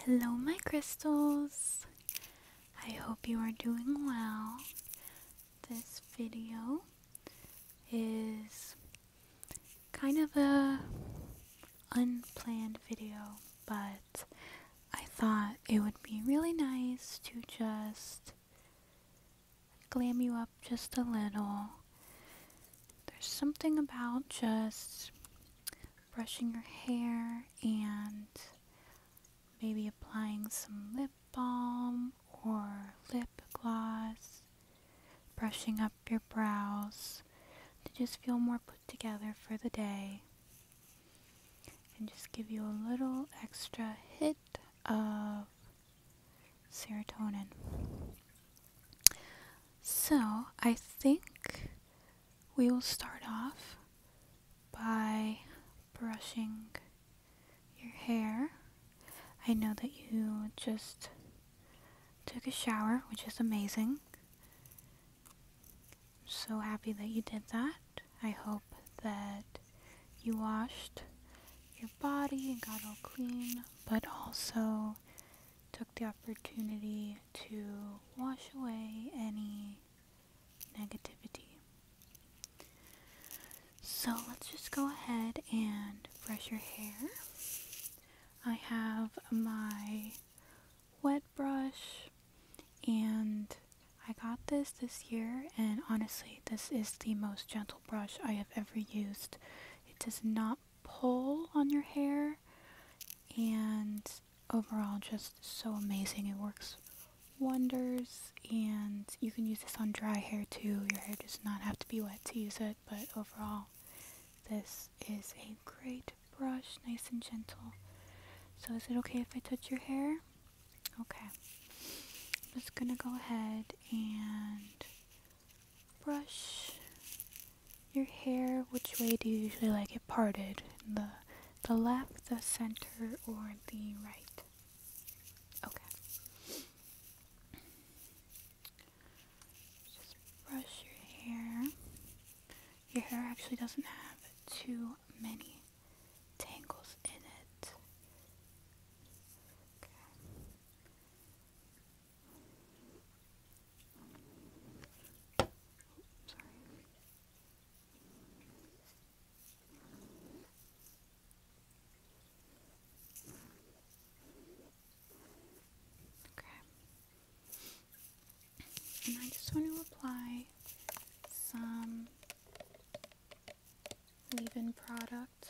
Hello, my crystals. I hope you are doing well. This video is kind of a unplanned video, but I thought it would be really nice to just glam you up just a little there's something about just brushing your hair and maybe applying some lip balm or lip gloss, brushing up your brows to just feel more put together for the day and just give you a little extra hit of serotonin. So, I think we will start off by brushing your hair. I know that you just took a shower, which is amazing. I'm so happy that you did that. I hope that you washed your body and got all clean, but also took the opportunity to wash away any negativity. So let's just go ahead and brush your hair. I have my wet brush and I got this this year and honestly this is the most gentle brush I have ever used. It does not pull on your hair and overall just so amazing it works wonders and you can use this on dry hair too your hair does not have to be wet to use it but overall this is a great brush nice and gentle so is it okay if I touch your hair okay I'm just gonna go ahead and brush your hair. Which way do you usually like it parted? the the left, the center, or the right? Okay. Just brush your hair. Your hair actually doesn't have too many tangles in it. Okay. Okay. And I just want to apply some leave-in product.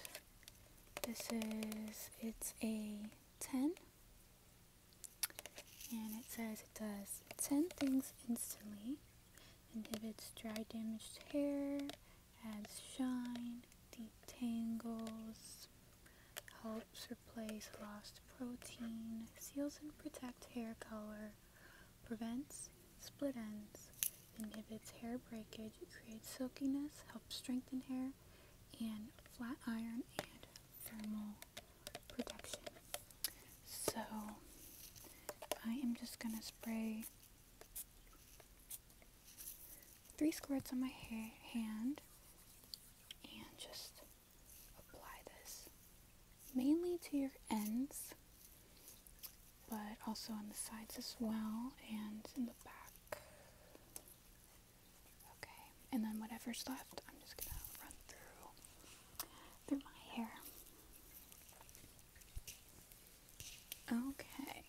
This is, it's a 10 and it says it does 10 things instantly. Inhibits dry damaged hair, adds shine, detangles, helps replace lost protein, seals and protects hair color, prevents split ends, inhibits hair breakage, creates silkiness, helps strengthen hair, and flat iron and thermal protection. So I am just going to spray three squirts on my hand and just apply this mainly to your ends but also on the sides as well and in the back Okay, and then whatever's left, I'm just gonna run through through my hair. Okay.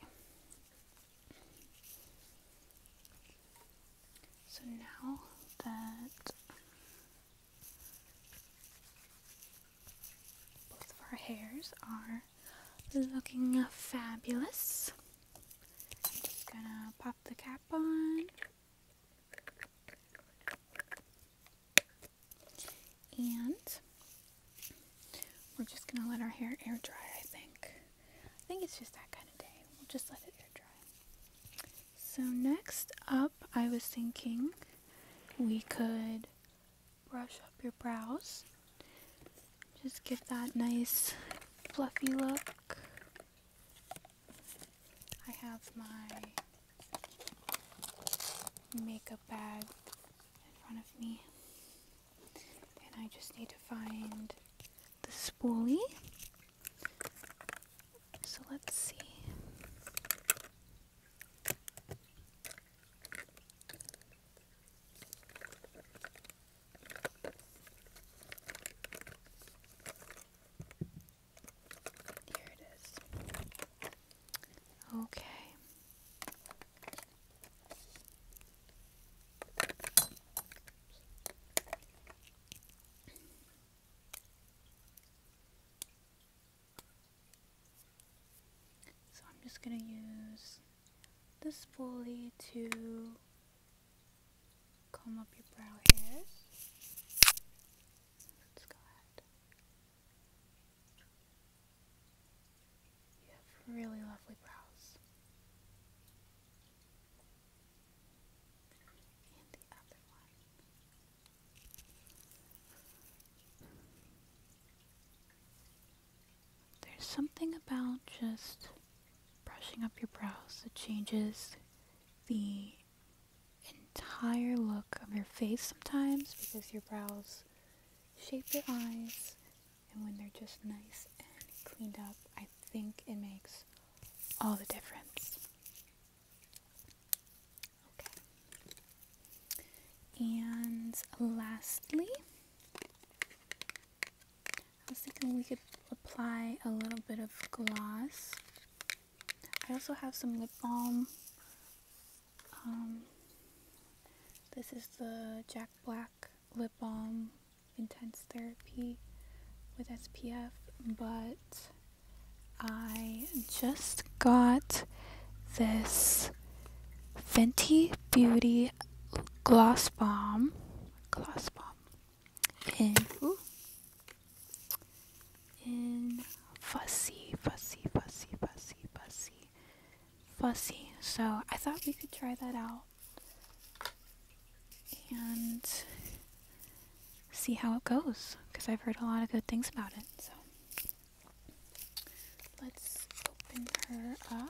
So now that both of our hairs are looking fabulous. I'm just gonna pop the cap on. And we're just gonna let our hair air dry, I think. I think it's just that kind of day. We'll just let it air dry. So next up, I was thinking we could brush up your brows. Just give that nice fluffy look. I have my makeup bag in front of me. And I just need to find the spoolie. So let's see. Here it is. Okay. So I'm just going to use this pulley to comb up your brow hairs. Let's go ahead. You have really lovely brows. And the other one. There's something about just brushing up your brows that changes the entire look of your face sometimes because your brows shape your eyes and when they're just nice and cleaned up, I think it makes all the difference. Okay. And lastly, I was thinking we could apply a little bit of gloss. I also have some lip balm. Um, this is the Jack Black Lip Balm Intense Therapy with SPF, but I just got this Fenty Beauty Gloss Balm class form in ooh, in fussy, fussy, fussy, fussy, fussy, fussy. So I thought we could try that out and see how it goes because I've heard a lot of good things about it. So let's open her up.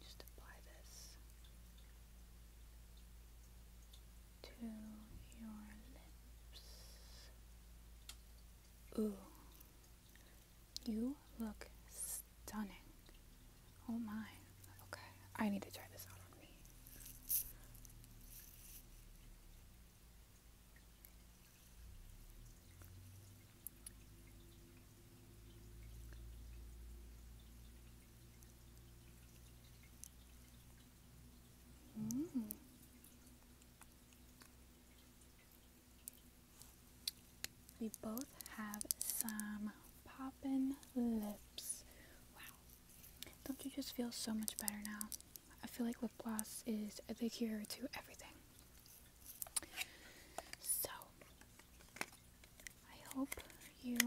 Just apply this to your lips. Ooh, you look stunning. Oh my. Okay, I need to try this out on me. Mm. We both have some popping lips. Wow. Don't you just feel so much better now? I feel like lip gloss is the cure to everything. So, I hope you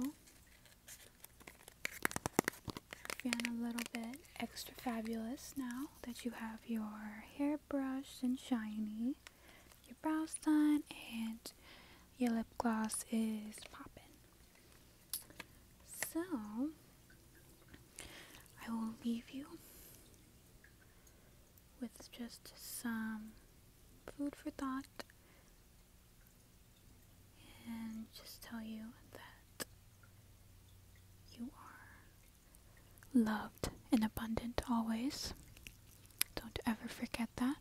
feel a little bit extra fabulous now that you have your hair brushed and shiny, your brows done, and your lip gloss is popping. So, I will leave you with just some food for thought and just tell you that you are loved and abundant always. Don't ever forget that.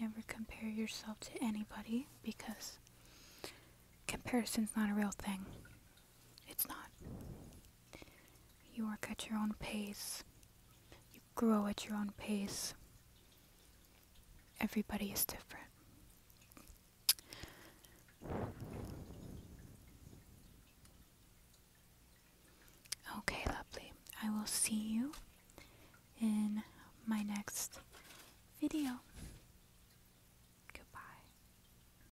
Never compare yourself to anybody because comparison's not a real thing. It's not. You work at your own pace. You grow at your own pace. Everybody is different. Okay, lovely. I will see you in my next video. Goodbye.